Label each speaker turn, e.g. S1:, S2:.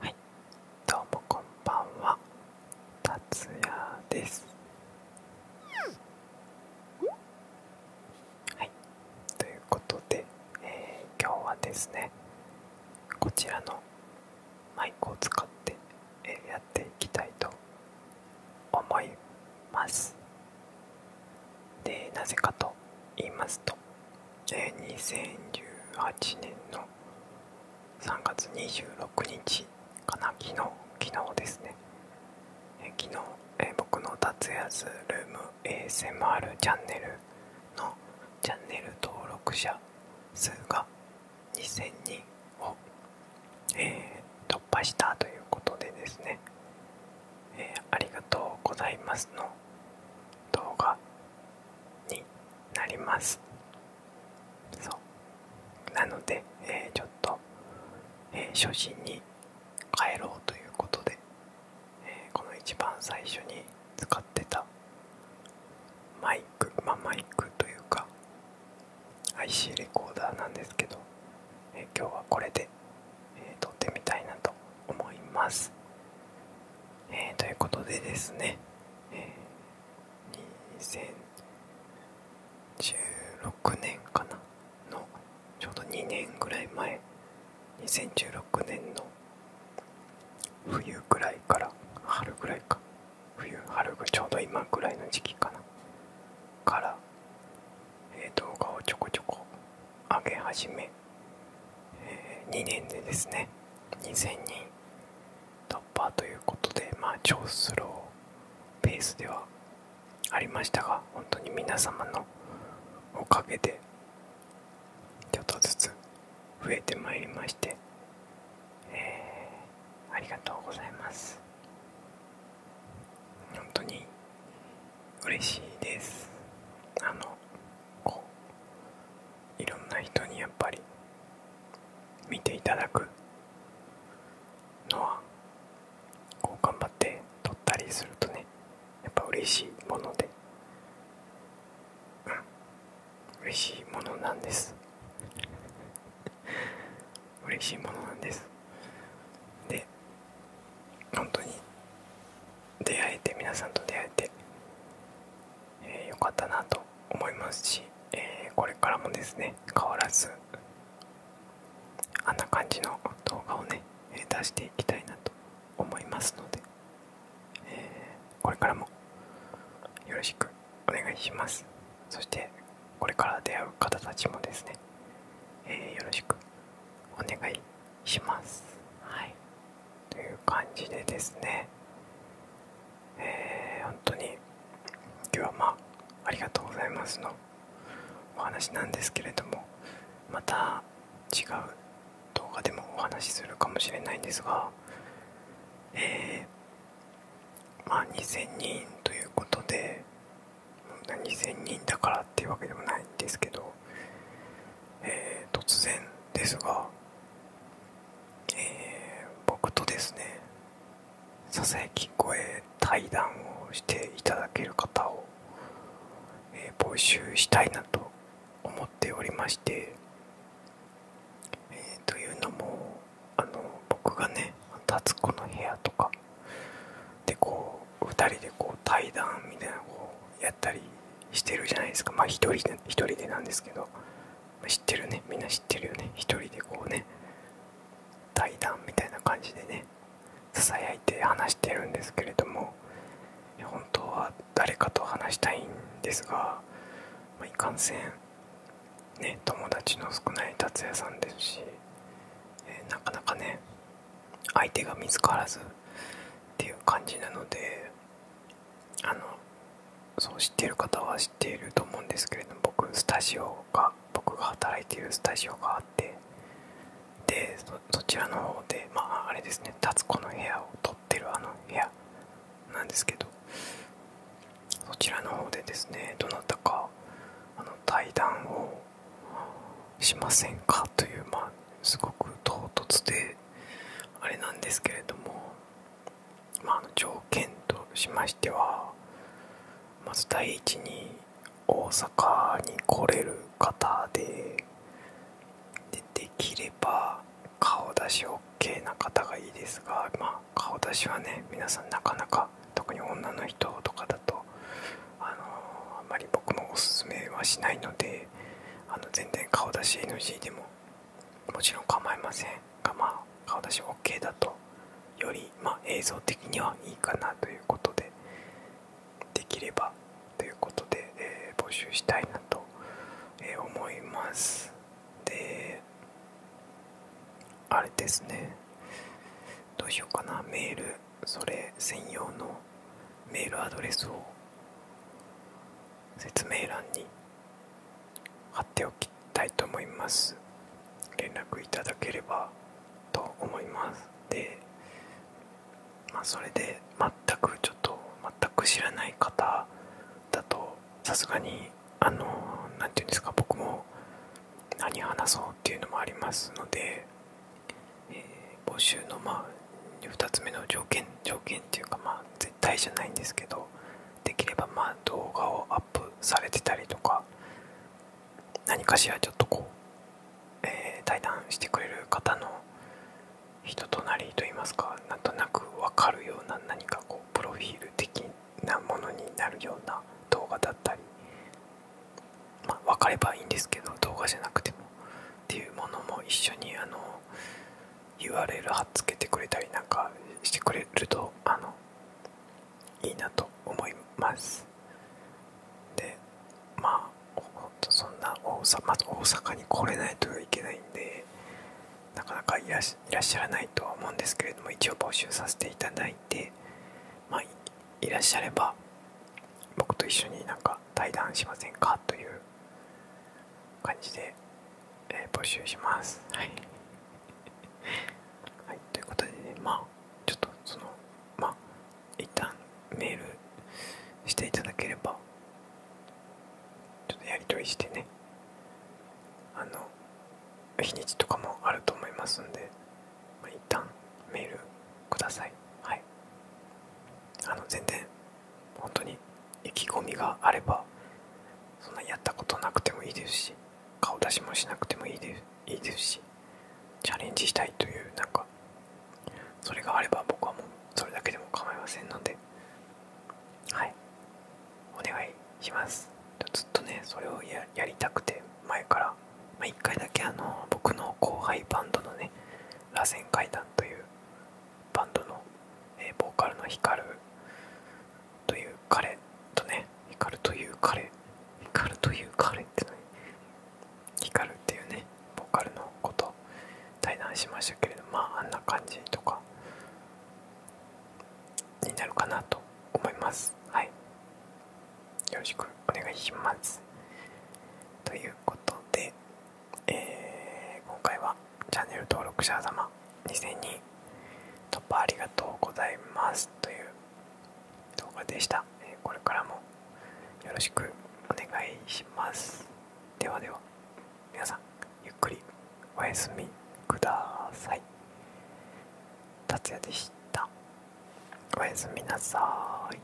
S1: はいどうもこんばんは達也ですはいということで、え今日はですねこちらのマイクを使って、えやっていきたいと思いますでなぜかと言いますとえ2018年の3月26日かな昨日昨日ですね、えー、昨日、え僕の達也ズルーム ASMR チャンネルのチャンネル登録者数が2000人を、え突破したということでですね、えありがとうございますの動画になりますそうなので、えちょっと、初心に帰ろうということで、この一番最初に使ってたマイクまマイクというか IC レコーダーなんですけど、今日はこれで、撮ってみたいなと思いますえー、ということでですね、えー、2016年かなのちょうど2年ぐらい前2016年の冬ぐらいから春ぐらいか冬春ぐちょうど今ぐらいの時期かなから、えー、動画をちょこちょこ上げ始め2年でですね2000人突破ということでま超スローペースではありましたが本当に皆様のおかげでちょっとずつ増えてまいりまして、えありがとうございます本当に嬉しいですあのこういろんな人にやっぱり見ていただくのはこう頑張って撮ったりするとねやっぱ嬉しいものでうん嬉しいものなんです 嬉しいものなんですで本当に出会えて皆さんと出会えて、えー、よかったなと思いますし、えこれからもですね変わらずあんな感じの動画をね出していきたいなと思いますので、これからもよろしくお願いしますそしてこれから出会う方たちもですね、よろしくお願いしますはいという感じでですねえー、本当に今日はまあありがとうございますのお話なんですけれどもまた違う動画でもお話しするかもしれないんですがえま2000人ということで2,000人だからっていうわけでもないんですけど、え突然ですが、え僕とですねささやき声対談をしていただける方を、え募集したいなと思っておりまして、えというのもあの僕がね「タツコの部屋」とかでこう2人でこう対談みたいなこうやったりしてるじゃないですかまあ1人で1人でなんですけど、ま知ってるねみんな知ってるよね1人でこうね対談みたいな感じでねささやいて話してるんですけれども本当は誰かと話したいんですが、まいかんせんね友達の少ない達也さんですし、えなかなかね相手が見つからずっていう感じなのであのそう知っている方は知っていると思うんですけれども僕スタジオが僕が働いているスタジオがあってでそちらの方でまああれですね達子の部屋を撮ってるあの部屋なんですけどそちらの方でですねどなたかあの対談をしませんかというまあすごく唐突であれなんですけれども、まあ、条件としましてはまず第一に大阪に来れる方ででできれば顔出し OK な方がいいですが、まあ、顔出しはね皆さんなかなか。特に女の人とかだとあのあんまり僕もおすすめはしないのであの全然顔出し NG でももちろん構いませんがまあ顔出し OK だとよりまあ映像的にはいいかなということでできればということで、えー、募集したいなと思いますであれですねどうしようかなメールそれ専用のメールアドレスを説明欄に貼っておきたいと思います連絡いただければと思いますでまそれで全くちょっと全く知らない方だとさすがにあの何て言うんですか僕も何話そうっていうのもありますので、募集のまあ2つ目の条件条件っていうかまあ絶対じゃないんですけどできればまあ動画をアップされてたりとか何かしらちょっとこう、え対談してくれる方の人となりといいますかなんとなく分かるような何かこうプロフィール的なものになるような動画だったり、まあ、分かればいいんですけど動画じゃなくてもっていうものも一緒にあの URL 貼っつけてくれたりなんかしてくれるとあのいいなと思いますでまあほんとそんな大阪まず大阪に来れないといけないんでなかなかいらっしゃらないとは思うんですけれども一応募集させていただいいまあ、いらっしゃれば僕と一緒になんか対談しませんかという感じで、えー、募集します。はい はい、ということでねまあちょっとそのまあ一旦メールしていただければちょっとやりとりしてねあの日にちとかもあると思いますんで、まあ、一旦メールくださいはいあの全然本当に意気込みがあればそんなやったことなくてもいいですし顔出しもしなくてもいいですいいですしチャレンジしたいというなんかそれがあれば僕はもうそれだけでも構いませんのではいお願いしますずっとねそれをやりたくて前から、ま1回だけあの僕の後輩バンドのね螺旋階段というバンドの、えボーカルの光。という彼とね光カという彼ヒカルという彼って何ヒカルっていうねボーカルのこと対談しましたけれどまああんな感じとかになるかなと思いますはいよろしくお願いしますということで、え今回はチャンネル登録者様2000人突破ありがとうございますという動画でした、えこれからもよろしくお願いしますではでは皆さんゆっくりおやすみください達也でしたおやすみなさい